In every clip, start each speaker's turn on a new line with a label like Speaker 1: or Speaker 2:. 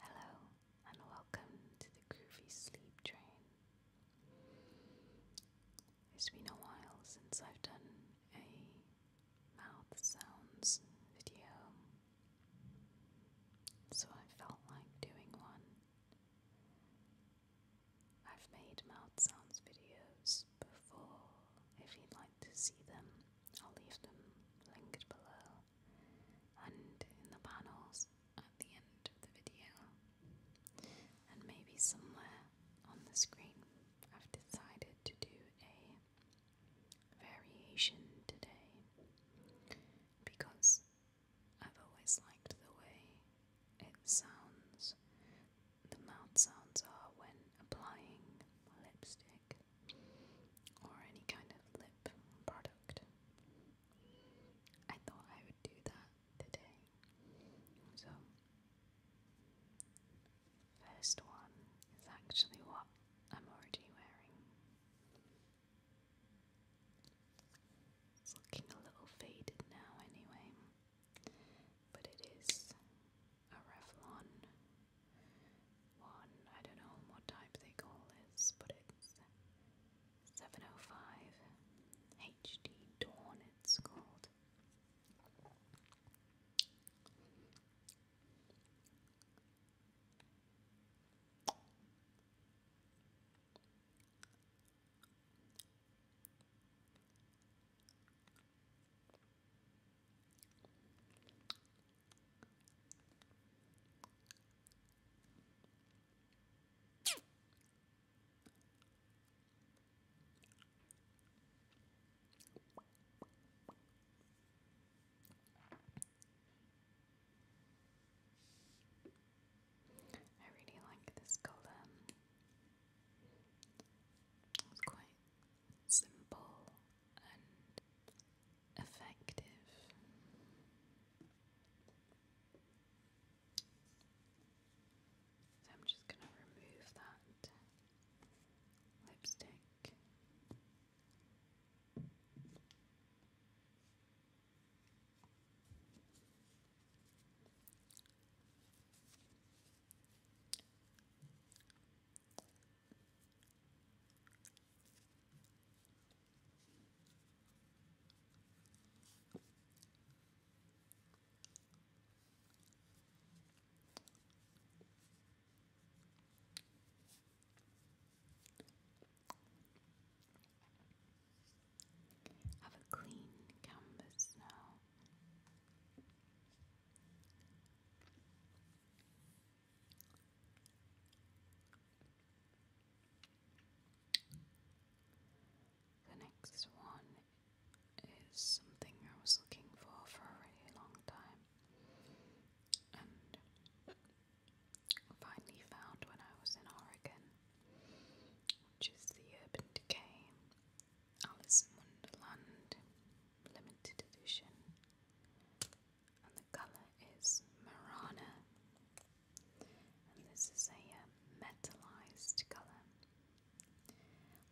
Speaker 1: Hello, and welcome to the Groovy Sleep Train. It's been a while since I've done a mouth sounds video, so I felt like doing one. I've made mouth sounds videos before. If you'd like to see them, I'll leave them linked below and in the panels at the end of the video, and maybe somewhere on the screen. I've decided to do a variation today because I've always liked the way it sounds, the mouth sounds are when applying lipstick or any kind of lip product. I thought I would do that today. So, first one is actually what I'm already wearing. It's looking a little faded now, anyway, but it is a Revlon one. I don't know what type they call this, but it's 705 HD Dawn, it's called. I really like this color. It's quite simple effective. I'm just going to remove that lipstick. Have a clean canvas now. The next one is something I was looking for for a really long time and finally found when I was in Oregon, which is the Urban Decay Alice in Wonderland limited edition, and the colour is Marana, and this is a uh, colour,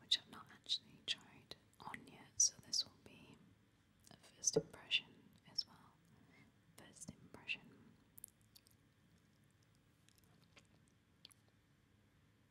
Speaker 1: which I've not actually tried on yet, so this will be a first impression as well. First impression.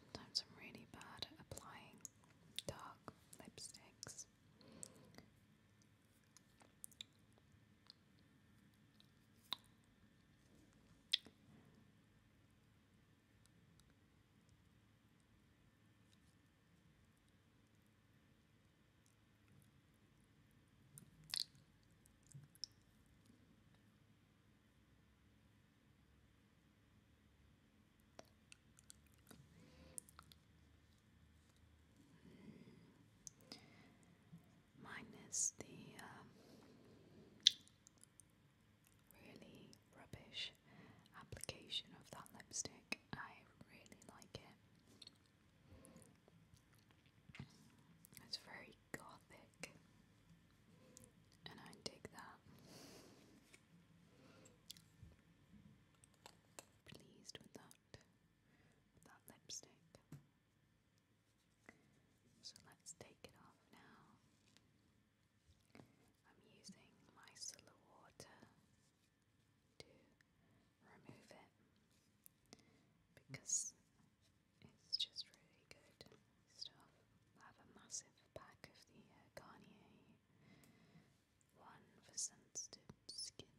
Speaker 1: Sometimes I'm really bad at applying dark lipsticks. Minus the um, really rubbish application of that lipstick. I really like it. It's very gothic, and I dig that. Pleased with that, that lipstick. So let's take it off now. I'm using micellar water to remove it because it's just really good stuff. I have a massive pack of the uh, Garnier one for sensitive skin.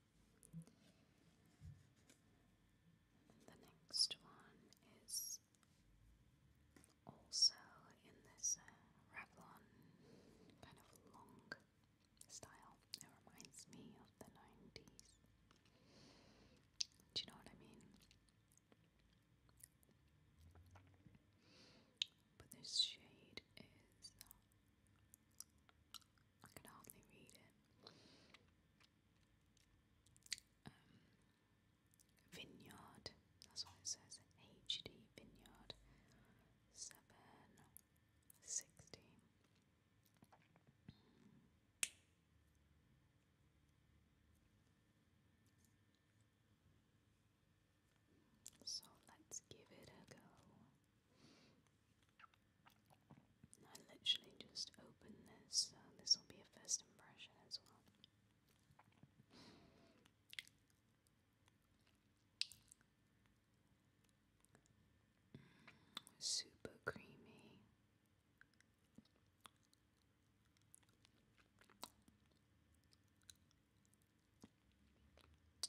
Speaker 1: The next one is also in this uh, Revlon kind of long style. It reminds me of the 90s. Do you know what I mean? But this shade is I can hardly read it. Um, vineyard, that's what it says. HD Vineyard 760. So let's give it a go. I literally just opened this, this will be a first impression as well. Mm, super creamy.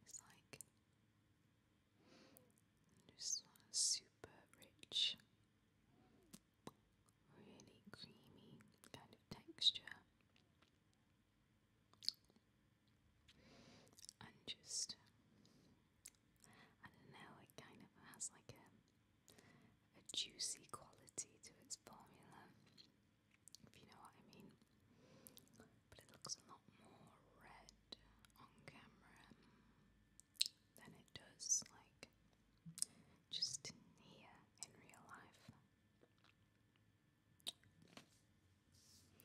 Speaker 1: It's like just super rich, really creamy kind of texture, and just I don't know. It kind of has like a a juicy quality to its formula if you know what I mean. But it looks a lot more red on camera than it does, like, just here in real life.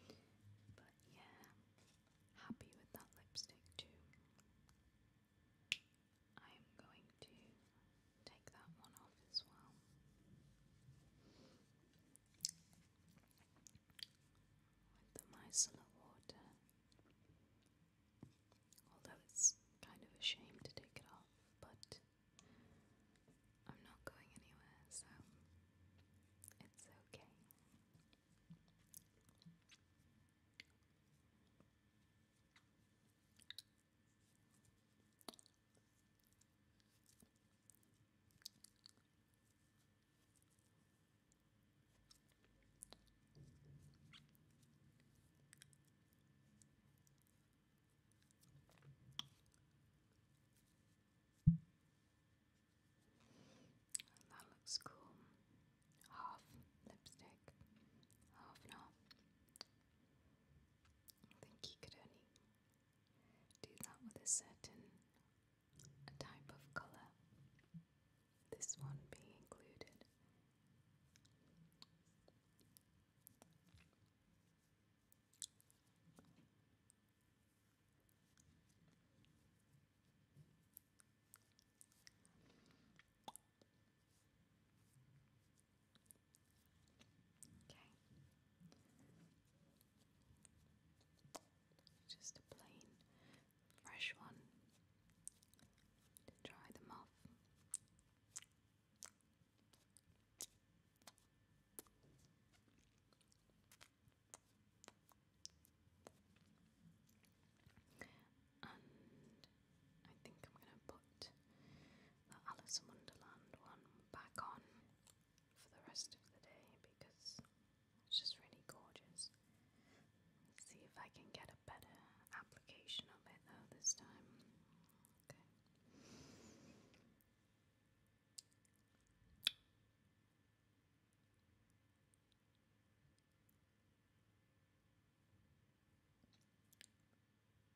Speaker 1: But yeah, happy with that lipstick too. I am going to take that one off as well. With the micellar water. Although it's kind of a shame to take it off, but I'm not going anywhere, so it's okay. That looks cool. Half lipstick, half not. I think you could only do that with a certain type of colour, this one being included. Okay. Just a plain fresh one to dry them off. And I think I'm going to put the Alice in Wonderland one back on for the rest of the day because it's just really gorgeous. Let's see if I can get a better application of it though this time. Okay.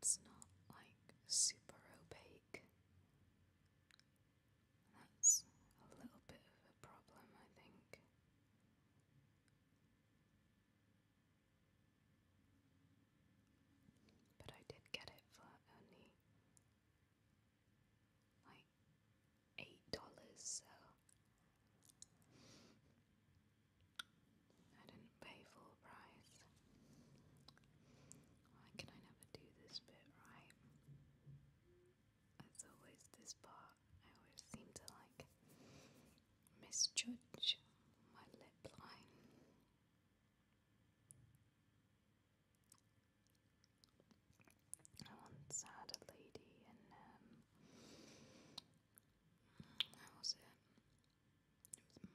Speaker 1: It's not like super opaque. That's a little bit of a problem, I think. But I did get it for only like eight dollars, so I didn't pay full price. Why can I never do this bit right? That's always this part. I always seem to like misjudge my lip line. I once had a lady in um was it?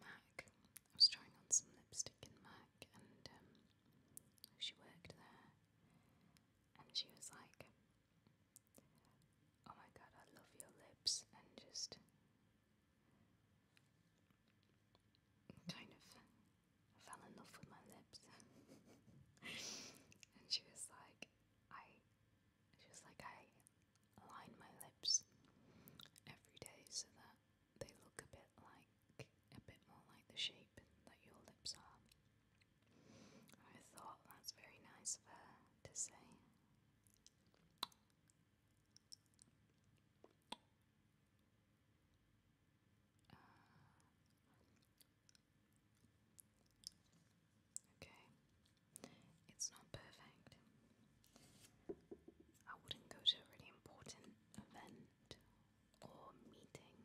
Speaker 1: Mac. I was trying on some lipstick in Mac and um, she worked there and she was like Oh my god, I love your lips and just kind of I fell in love with my lips. and she was like, I, she was like, I line my lips every day so that they look a bit like, a bit more like the shape that your lips are. I thought that's very nice of her to say. Uh, okay, it's not perfect. I wouldn't go to a really important event or meeting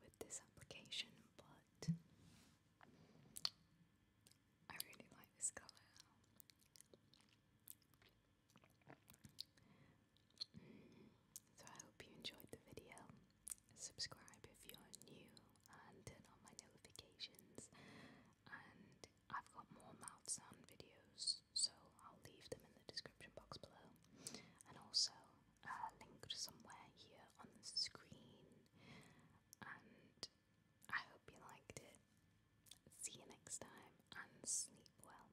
Speaker 1: with this application, but I really like this color. So I hope you enjoyed the video. Subscribe if you're new and turn on my notifications. And I've got more mouth sound videos, so I'll leave them in the description box below. And also uh, linked somewhere here on the screen. And I hope you liked it. See you next time and sleep well.